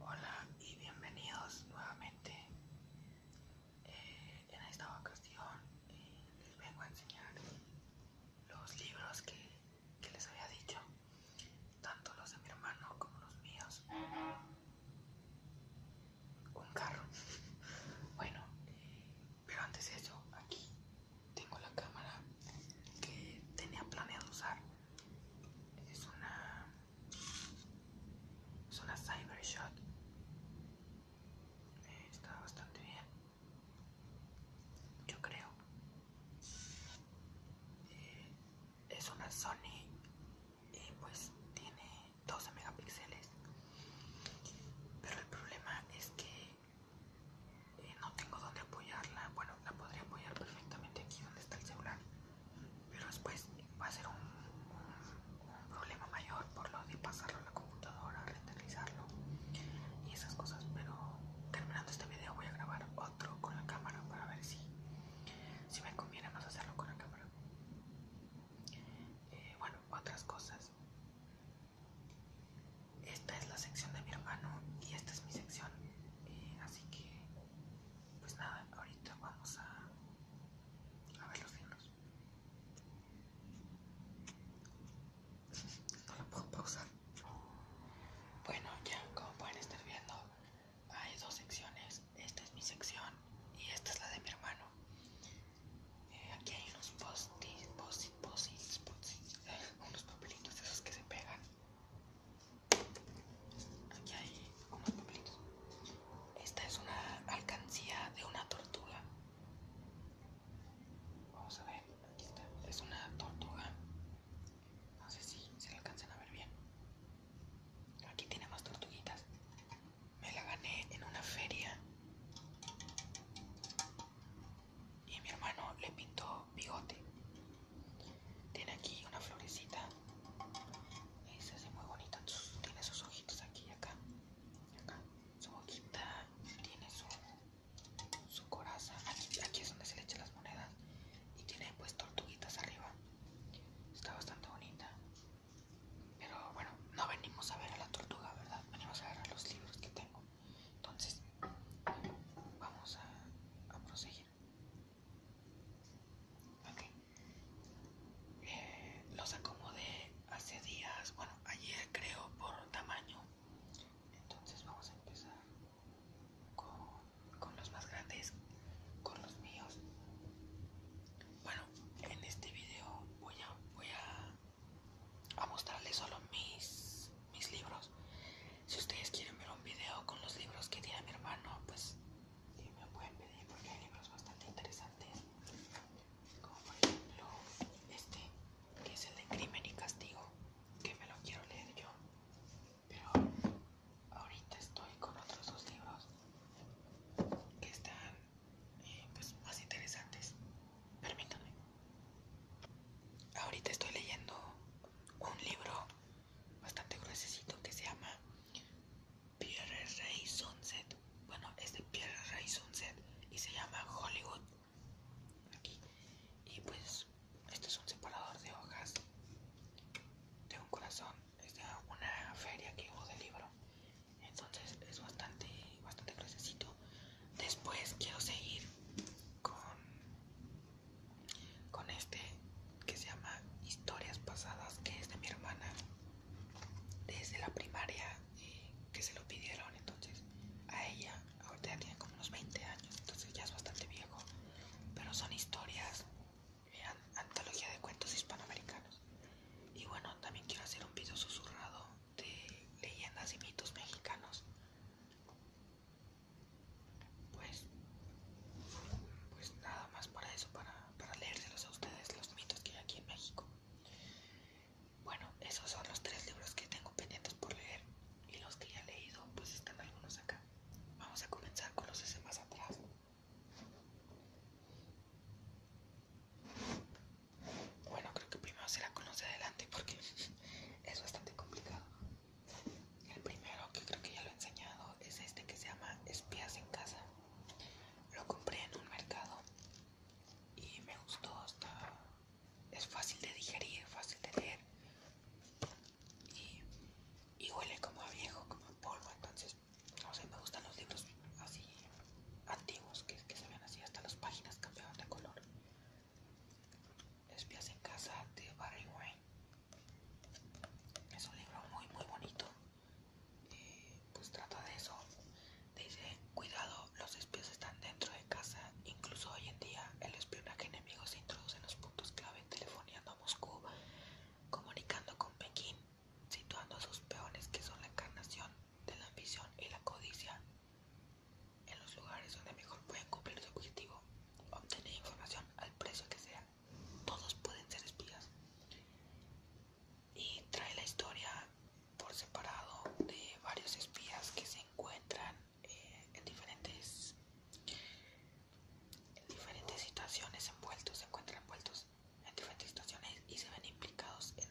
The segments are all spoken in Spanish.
Hola y bienvenidos nuevamente. Eh, en esta ocasión eh, les vengo a enseñar los libros que, que les había dicho, tanto los de mi hermano como los míos. Un carro. bueno, eh, pero antes de eso, aquí tengo la cámara que tenía planeado usar. Es una es una Cybershot. Eh, está bastante bien. Yo creo. Eh, es una Sony y pues tiene 12 megapíxeles. Pero el problema es que eh, no tengo donde apoyarla. Bueno, la podría apoyar perfectamente aquí donde está el celular pero después va a ser un, problema mayor por lo de pasarlo a la computadora, renderizarlo y esas cosas. Pero terminando este video voy a grabar otro con la cámara para ver si, si me conviene más hacerlo con la cámara. Eh, bueno, otras cosas. Esta es la sección de mi hermano y esta es mi sección, eh, así que pues nada, ahorita vamos a, a ver los libros. No lo puedo pausar. Bueno, ya como pueden estar viendo, hay dos secciones. Esta es mi sección y esta es la de mi hermano. Eh, aquí hay unos postis, postis, postis, eh, unos papelitos esos que se pegan. Aquí hay papelitos. Esta es una alcancía de una tortuga. Vamos a ver, aquí está. Es una tortuga. No sé si se la alcanzan a ver bien. Aquí tiene más tortuguitas. Me la gané en una feria. Y mi hermano le pintó bigote. Tiene aquí una florecita. se hace muy bonita. Tiene sus ojitos aquí y acá. Su boquita. Tiene su, su coraza. Aquí, aquí es donde se le echan las monedas. Y tiene pues tortuguitas arriba. Está bastante bonita. Pero bueno, no venimos a ver a la tortuga, ¿verdad? Venimos a ver a los libros que tengo. Entonces, vamos a, a proseguir. Eh, los acomodé hace días, bueno, ayer creo por tamaño. Entonces vamos a empezar con, los más grandes, con los míos. Bueno, en este video voy a, voy a mostrarles solo mis mis libros. Si ustedes quieren ver un video con los libros que tiene mi hermano, pues me pueden pedir porque hay libros bastante interesantes. Como por ejemplo este, que es el de Crimen y Castigo, que me lo quiero leer yo. Pero ahorita estoy con otros dos libros que están eh, pues, más interesantes. Permítanme. Ahorita estoy leyendo un libro bastante necesito que se llama Pierre rey Sunset. Bueno, es de Pierre Ray Sunset y se llama Hollywood. Aquí. Y pues, esto es un separador de hojas de un corazón. Es una feria que hubo de libro. Entonces es bastante, bastante Después quiero seguir con con este que se llama Historias Pasadas, que es de mi hermana desde la primaria eh, que se lo pidieron. Entonces, a ella, ahorita ya tiene como unos 20 años, entonces ya es bastante viejo, pero son historias, vean eh, antología de cuentos hispanoamericanos. Y bueno, también quiero hacer un video susurrado de leyendas y mitos mexicanos pues, pues nada más para eso, para, para leérselos a ustedes los mitos que hay aquí en México. Bueno, esos son los tres libros que tengo pendientes por leer y los que ya he leído, pues están algunos acá. Vamos a comenzar con los ese más atrás. Bueno, creo que primero se la conoce adelante porque es bastante complicado. El primero que creo que ya lo he enseñado es este que se llama Espías en casa. Lo compré en un mercado y me gustó, hasta es fácil de digerir, fácil de leer y, huele como a viejo, como a polvo, entonces no sé, me gustan los libros así antiguos que, que se ven así, hasta las páginas cambiaban de color. Espías en casa de Barry Wayne. Es un libro muy muy bonito. Eh, pues trata de eso. Dice, cuidado, los espías están dentro de casa. Incluso hoy en día el espionaje enemigo se introduce en los puntos clave telefoneando a Moscú, comunicando con Pekín, situando a sus peones que son la encarnación de la ambición y la codicia en los lugares donde mejor pueden cumplir su objetivo, obtener información al precio que sea. Todos pueden ser espías. Y trae la historia por separado de varios espías que se encuentran eh, en diferentes diferentes situaciones envueltos, se encuentran envueltos en diferentes situaciones y se ven implicados en,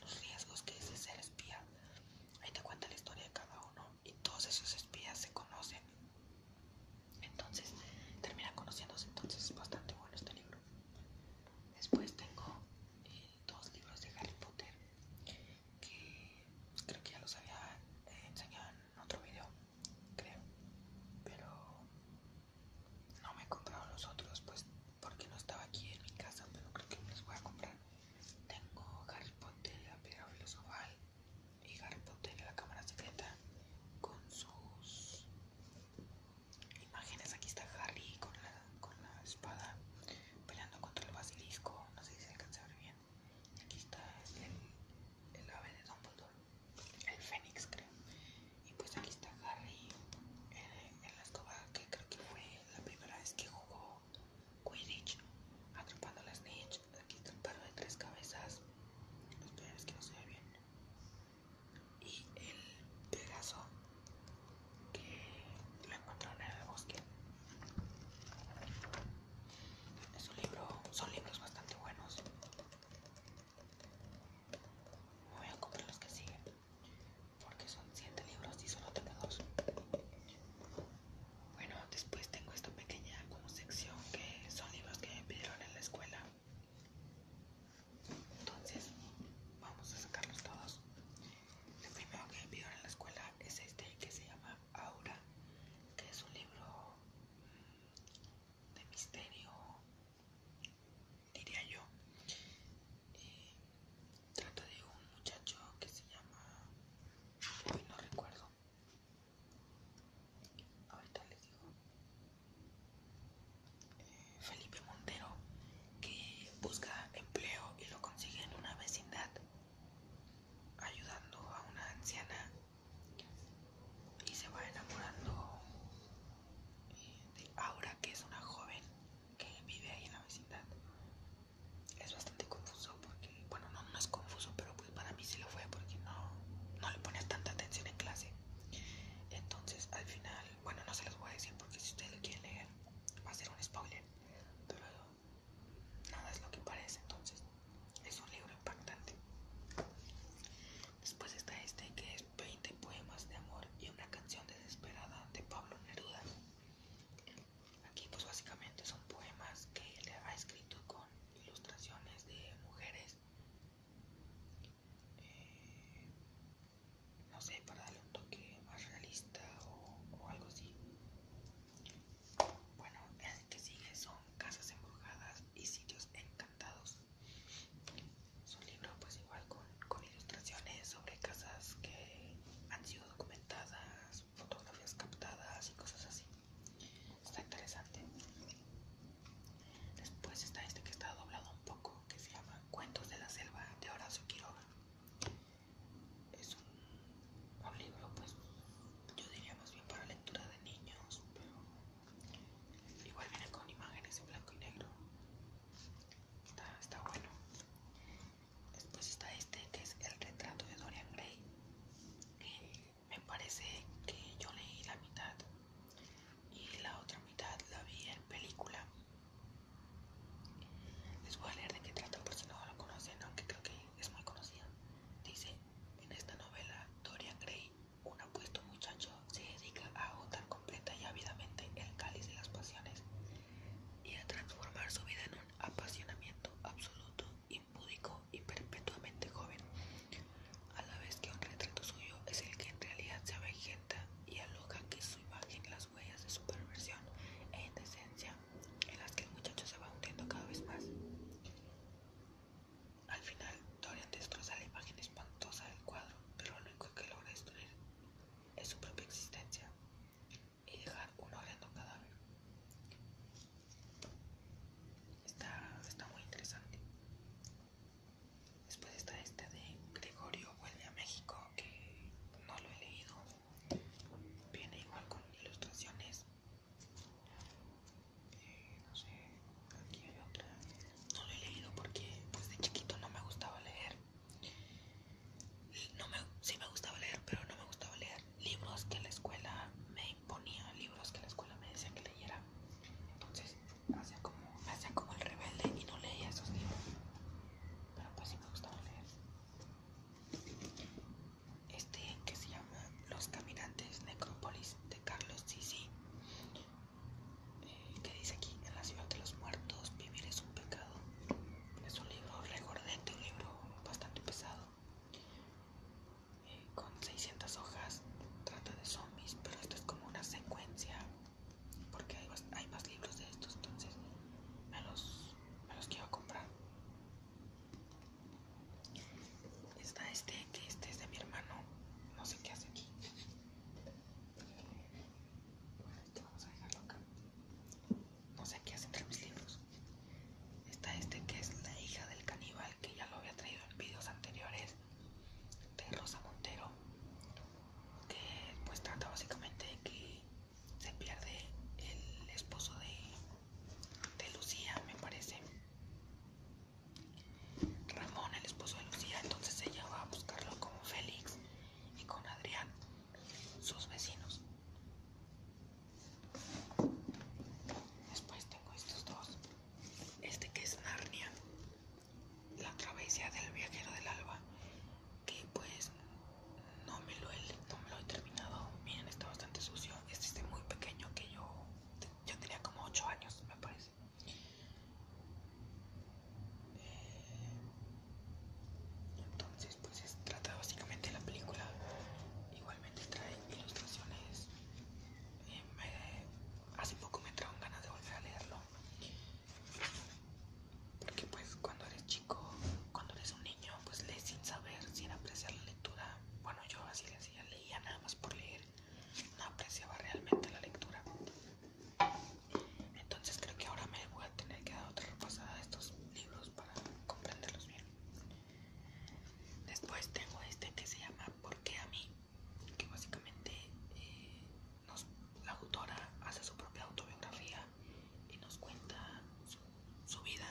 los riesgos que es ser espía. Ahí te cuenta la historia de cada uno y todos esos espías se conocen. Entonces, termina conociéndose, entonces es bastante bueno este libro. Después tengo eh, dos libros de Harry Potter que creo que ya los había eh, enseñado en otro video, creo, pero no me he comprado los otros, pues porque no estaba aquí en mi casa, pero creo que me los voy a comprar. Tengo Harry Potter la piedra filosofal y Harry Potter la cámara secreta con sus imágenes. Aquí está Harry con la, con la espada peleando contra el basilisco. No sé si se alcanza a ver bien. Y aquí está el, el ave de Dumbledore, el fénix, creo. Y pues aquí está Harry eh, en la escoba, que creo que fue la primera vez que jugó Quidditch, atrapando las la Aquí está el perro de tres cabezas. los peor que no se ve bien. Y el pedazo que lo encontraron en el bosque. Es un libro, son libros bastante buenos. voy a comprar los que siguen porque son siete libros y solo tengo dos. Bueno, después tengo esta pequeña como sección que son libros que me pidieron en la escuela. Entonces, vamos a sacarlos todos. El primero que me pidieron en la escuela es este que se llama Aura, que es un libro mm, de misterio, diría yo trata de un muchacho que se llama... no recuerdo. Ahorita les digo. Eh, Felipe Montero, que busca empleo y lo consigue en una vecindad, ayudando a una anciana y se va enamorando eh, de Aura, que es una joven que vive ahí en la vecindad es bastante confuso porque, bueno, no, no es confuso, pero pues para mí sí lo fue porque no, no le pones tanta atención en clase. Entonces, al final, bueno, no se los voy a decir porque si ustedes lo quieren leer, va a ser un spoiler, pero nada es lo que parece. Entonces, es un libro impactante. Después está este que es 20 poemas de amor y una canción desesperada de Pablo Neruda. Aquí pues básicamente son poemas que él ha escrito con ilustraciones de mujeres. Eh, no sé, para darle un toque más realista o, algo así. Bueno, el que sigue son Casas Embrujadas y Sitios Encantados. Su libro pues igual con ilustraciones sobre casas que han sido documentadas, fotografías captadas y cosas así. Está interesante. Después está este que está doblado un poco, que se llama Cuentos de la Selva de Horacio Quiroga. Es un, libro, pues, yo diría más bien para lectura de niños, pero igual viene con imágenes en blanco y negro. está bueno. Después está este que es el retrato de Dorian Gray. me parece que yo leí la mitad y la otra mitad la vi en película. Les voy a leer de qué trata por si no lo conocen, aunque creo que es muy conocida. Dice, en esta novela, Dorian Gray, un apuesto muchacho, se dedica a agotar completa y ávidamente el cáliz de las pasiones y a transformar su vida en un apasionamiento absoluto, impúdico y perpetuamente joven, a la vez que un retrato suyo es el que en realidad se avejenta y aloja que su imagen las huellas de su perversión e indecencia en las que el muchacho se va hundiendo cada vez más. Al final, Dorian destroza la imagen espantosa del cuadro, pero lo único que logra destruir es su propia existencia y dejar uno cada Está, está muy interesante. Después está este de Gregorio vuelve a México, que no lo he leído. Viene igual con ilustraciones. Eh, no sé, aquí No lo he leído porque desde pues, de chiquito no me gustaba leer. No me, sí me gustaba leer, pero no me gustaba leer libros que la escuela me imponía, libros que la escuela me decía que leyera. Entonces hacía como, me hacía como el rebelde y no leía esos libros. Pero pues sí me gustaba leer. Este que se llama Los Caminantes Necrópolis de Carlos eh, que dice aquí, en la ciudad de los muertos vivir es un pecado. Es un libro recordante, un libro bastante pesado, eh, con 600 hojas, trata de zombies, pero esto es como una secuencia, porque hay, más libros de estos, entonces me los quiero comprar. Está este, que este es de mi hermano, no sé qué hace aquí vamos a No sé qué hace entre mis libros. Está este que es la hija del caníbal, que ya lo había traído en videos anteriores, de Rosa Montero, que pues trata básicamente de que se pierde el esposo de, de Lucía, me parece. Ramón, el esposo de Lucía, entonces ella va a buscarlo como Félix y con Adrián, sus vecinos. Después tengo estos dos. Este que es Narnia, la travesía del viajero del alba, que pues no me lo he, terminado. Miren, está bastante sucio. Este es muy pequeño que yo, yo tenía como 8 años, me parece. Eh, entonces, pues trata básicamente la película. Igualmente trae ilustraciones. Eh, hace poco me trajo ganas de volver a leerlo. Porque pues cuando eres chico, cuando eres un niño, pues lees sin saber, sin apreciar la lectura. Bueno, yo así le leía nada más por leer. No apreciaba realmente la lectura. Entonces creo que ahora me voy a tener que dar otra repasada de estos libros para comprenderlos bien. Después tengo este que se llama ¿Por qué a mí? Que básicamente eh, la autora hace su propia autobiografía y nos cuenta su vida.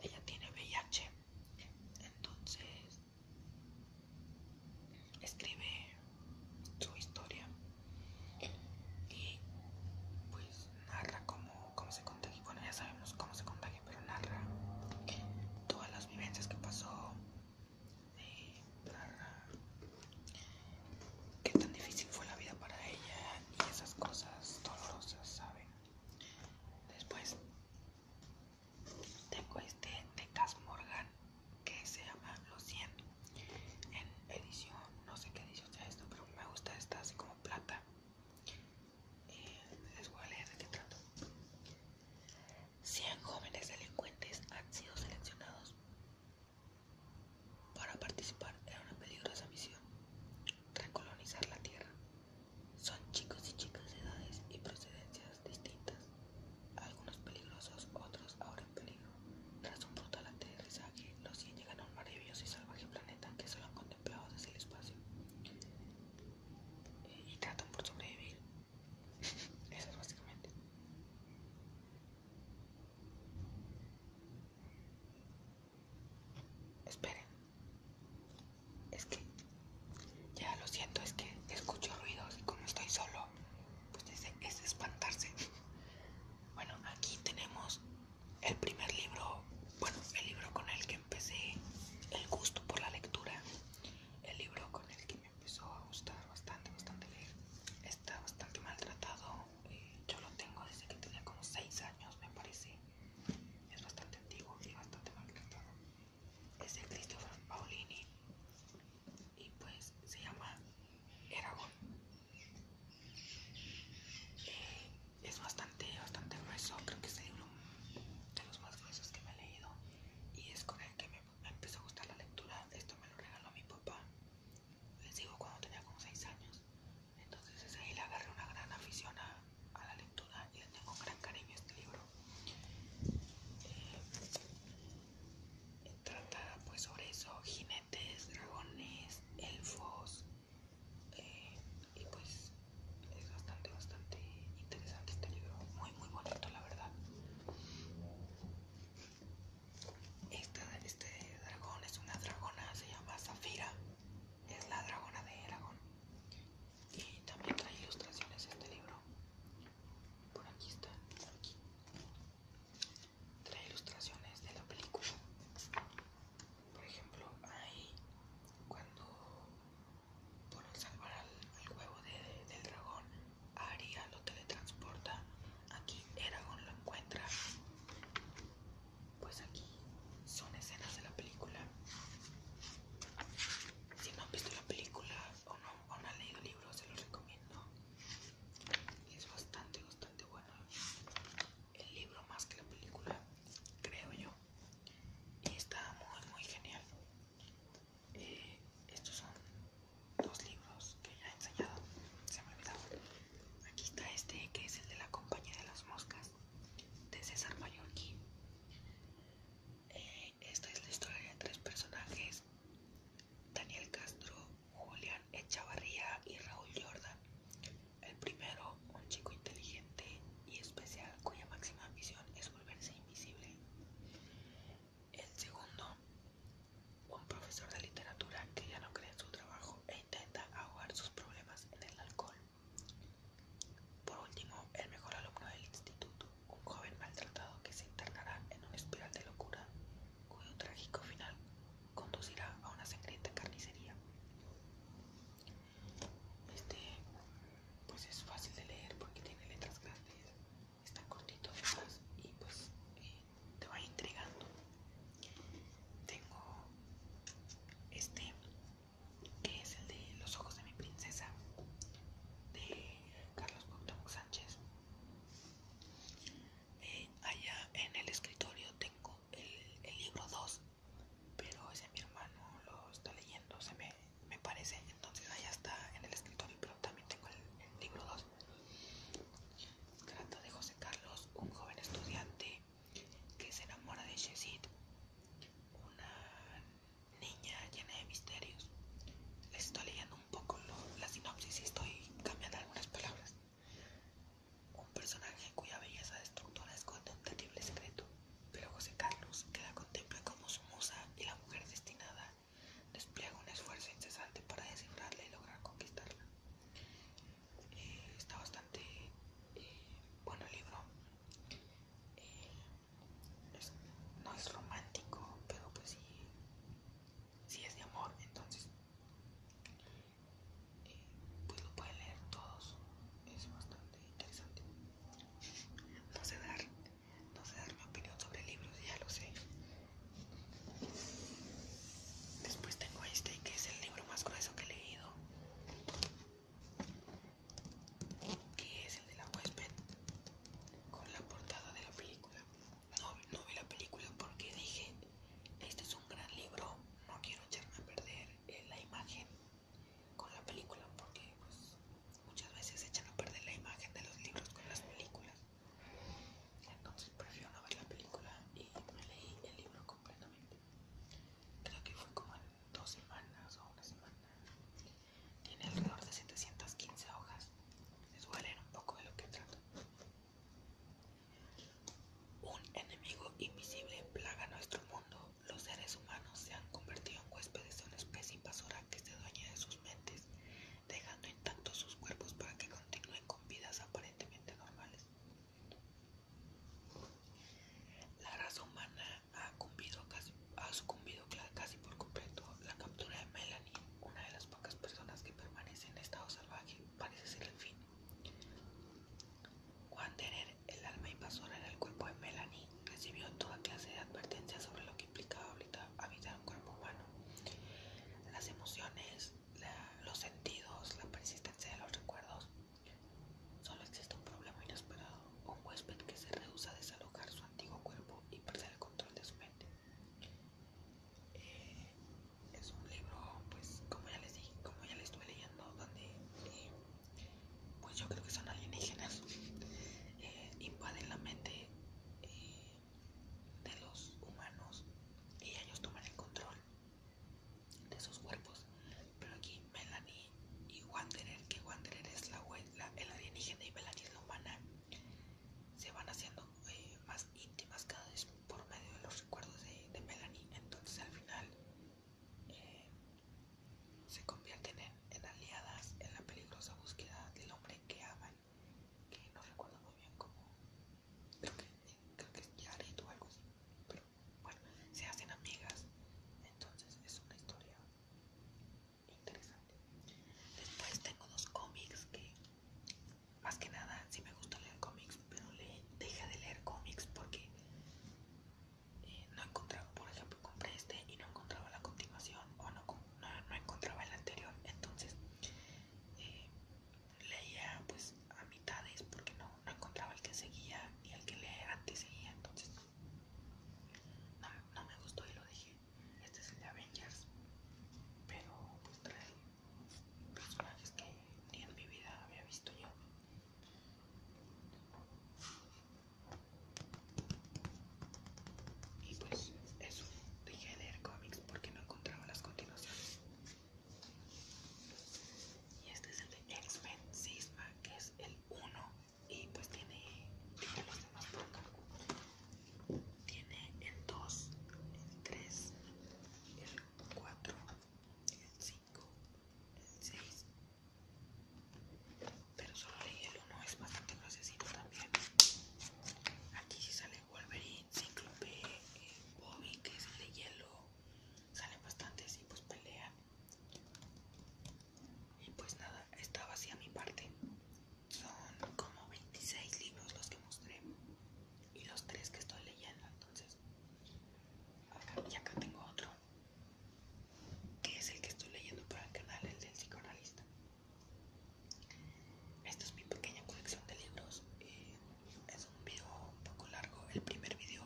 Ella tiene VIH, entonces escribe su historia y pues narra cómo, se contagió, Bueno, ya sabemos cómo se contagia, pero narra todas las vivencias que pasó, eh, narra qué tan difícil fue la vida para ella y esas cosas dolorosas, ¿saben? Después tengo este de Cas Morgan que se llama Los 100 en edición, no sé qué edición sea esto, pero me gusta esta así como plata. Eh, les voy a leer de qué trato. 100 jóvenes delincuentes han sido seleccionados para participar en una peligrosa misión, recolonizar la Tierra. Son chicos y chicas de edades y procedencias distintas, algunos peligrosos, otros ahora en peligro. Tras un brutal aterrizaje, los 100 llegan a un maravilloso y salvaje planeta que solo han contemplado desde el espacio eh, y tratan por sobrevivir. Eso es básicamente. Esperen, es que ya lo siento, es que escucho ruidos y como estoy solo pues dice, es espantarse. Bueno, aquí tenemos el primer libro, bueno, el libro con el que empecé el gusto por la lectura, el libro con el que me empezó a gustar bastante, bastante leer. Está bastante maltratado, eh, yo lo tengo desde que tenía como 6 años, me parece. Es bastante antiguo y bastante maltratado es de Christopher Paolini y pues se llama Eragon. Eh, es bastante, bastante grueso, creo que es el libro de los más gruesos que me he leído y es con el que me, empezó a gustar la lectura. Esto me lo regaló mi papá, les digo cuando tenía como 6 años. Entonces ahí le agarré una gran afición a, la lectura y le tengo un gran cariño a este libro trata pues sobre eso, jinetes, dragones, elfos eh, y pues es bastante, bastante interesante este libro, muy, muy bonito la verdad. Este, este dragón es una dragona, se llama Zafira, es la dragona de Eragon y también trae ilustraciones este libro por aquí está, aquí. Trae ilustraciones de la película. Por ejemplo, ahí cuando por el salvar al, huevo del dragón, Aria lo teletransporta. Aquí Eragon lo encuentra. Pues aquí son escenas de la película. Si no han visto la película o no o no ha leído el se los recomiendo. Es bastante, bastante bueno. El libro más que la película, creo yo. Y está muy, muy genial. Eh, estos son dos libros que ya he enseñado. Se me olvidaba. Aquí está este, que es el de la compañía de las moscas, de César Mallorquí esta es la historia de tres personajes: Daniel Castro, Julián Echavarría y Raúl Jordan. El primero, un chico inteligente y especial cuya máxima ambición es volverse invisible. El segundo, un profesor de literatura que ya no cree en su trabajo e intenta ahogar sus problemas en el alcohol. Por último, el mejor alumno del instituto, un joven maltratado que se internará en una espiral de locura, cuyo trágico final conducirá a una sangrienta carnicería. Este, pues es fácil de leer porque tiene letras grandes, está cortito y pues eh, te va intrigando. Tengo este que es el de Los ojos de mi princesa de Carlos Cuauhtémoc Sánchez. allá en el escritorio tengo el, libro 2, pero ese mi hermano lo está leyendo, se me, parece, entonces allá está en el escritorio, pero también tengo el, libro 2. Trata de José Carlos, un joven estudiante que se enamora de Chesid una niña llena de misterios. Les estoy leyendo un poco la sinopsis y estoy cambiando algunas palabras. Un personaje cuya belleza destructora esconde un terrible secreto, pero José Carlos, que la contempla como su musa y la mujer destinada, despliega un esfuerzo incesante para descifrarla y lograr conquistarla. Eh, está bastante eh, bueno el libro. Eh, no es romántico, pero pues sí, sí es de amor, entonces eh, pues lo pueden leer todos, es bastante interesante. No sé dar, no sé dar mi opinión sobre libros, ya lo sé. Después tengo este que es el libro más grueso que he leído que es el de la huésped con la portada de la película. No, vi la película porque dije, este es un gran libro, no quiero echarme a perder eh, la imagen con la película porque pues, muchas veces se echan a perder la imagen de los libros con las películas. Entonces prefiero no ver la película y me leí el libro completamente. Creo que fue como dos semanas o una semana. Tiene alrededor de 715 hojas. Les voy un poco de lo que trata. Un enemigo invisible plaga nuestro mundo. Los seres humanos se han convertido en huéspedes de una especie invasora que se dueña de sus mentes, dejando intactos sus cuerpos para que continúen con vidas aparentemente normales. La raza humana ha, casi, sucumbido casi por completo la captura de Melanie, una de las pocas personas que permanece en estado salvaje, parece ser el fin. Juan Tener, el alma invasora en el cuerpo de Melanie, recibió toda clase de advertencias sobre lo que implicaba habitar un cuerpo humano. Las emociones, los sentidos, la persistencia de los recuerdos Solo existe un problema inesperado, un huésped que se rehúsa a desalojar su antiguo cuerpo y perder el control de su mente. Eh, es un libro, pues, como ya les dije, como ya les estoy leyendo, donde, eh, pues yo creo que son alienígenas, eh, invaden la mente de los humanos y ellos toman el control de sus cuerpos pero aquí Melanie y Wanderer, que Wanderer es la, la, el alienígena y Melanie es la humana, se van haciendo eh, más íntimas cada vez por medio de los recuerdos de, Melanie. Entonces al final eh, se convierten en, aliadas en la peligrosa búsqueda del hombre que aman, que no recuerdo muy bien cómo, creo que, que es Jared o algo así, bueno, se hacen amigas. Entonces es una historia interesante. Después tengo dos cómics que, más que nada, sí me gusta leer cómics, pero le deja de leer cómics porque eh, no encontraba, por ejemplo, compré este y no encontraba la continuación o no, encontraba el anterior. Entonces eh, leía pues a mitades porque no no, encontraba el que seguía y el que le seguía entonces no, me gustó y lo dejé. Este es el de Avengers, pero pues trae personajes que ni en mi vida había visto yo. Y pues eso, dije de leer cómics porque no encontraba las continuaciones y este es el de X-Men Sisma que es el 1 y pues tiene, los demás por acá tiene el 2 el 3 el 4 el 5 el 6 pero solo leí el 1 es bastante gruesecito también aquí sí sale Wolverine, Cíclope, eh, Bobby que es el de hielo salen bastante así pues pelean y pues nada, estaba así a mi parte. Son como 26 libros los que mostré y los tres que estoy leyendo. Entonces, acá y acá tengo otro que es el que estoy leyendo para el canal, el del psicoanalista. Esta es mi pequeña colección de libros. Eh, es un video un poco largo. El primer video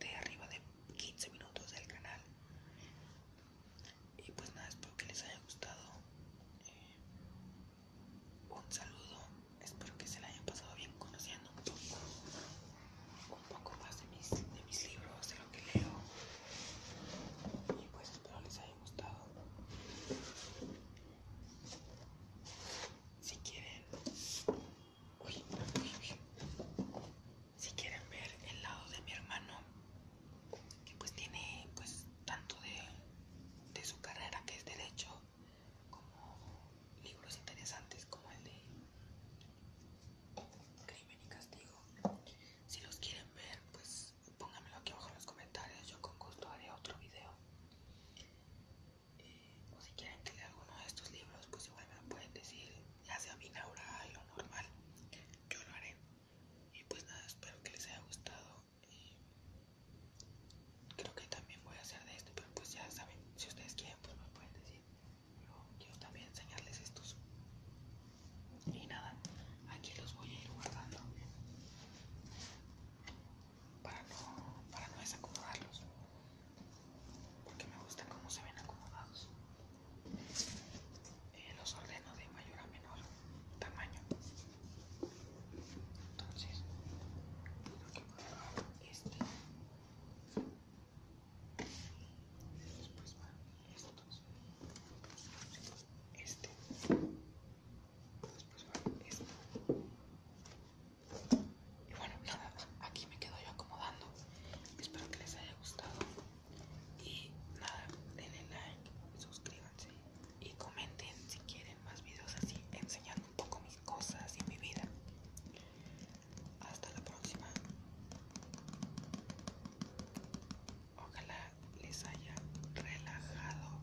de arriba de 15 minutos del canal y pues nada espero que les haya gustado eh, un saludo espero que se la hayan pasado bien conociendo un poco un poco más de mis, de mis libros de lo que leo y pues espero les haya gustado si quieren si quieren ver el lado de mi hermano, que pues tiene pues tanto de, de su carrera que es derecho, como libros interesantes como el de Crimen y Castigo. Si los quieren ver, pues pónganmelo aquí abajo en los comentarios, yo con gusto haré otro video. Eh, o si quieren que lea alguno de estos libros, pues igual me pueden decir, ya sea mi y lo normal, yo lo haré. Y pues nada, espero que les haya gustado. y creo que también voy a hacer de esto pero pues ya saben, si ustedes quieren, pues me pueden decir. Pero quiero también enseñarles estos. Y nada, aquí los voy a ir guardando para no, para no desacomodarlos porque me gusta cómo se ven acomodados eh, los ordeno de mayor a menor tamaño entonces que voy a este después van estos este después va estos y bueno, nada, aquí me quedo yo acomodando. Espero que les haya gustado. Y nada, denle like, suscríbanse y comenten si quieren más videos así, enseñando un poco mis cosas y mi vida. Hasta la próxima. Ojalá les haya relajado.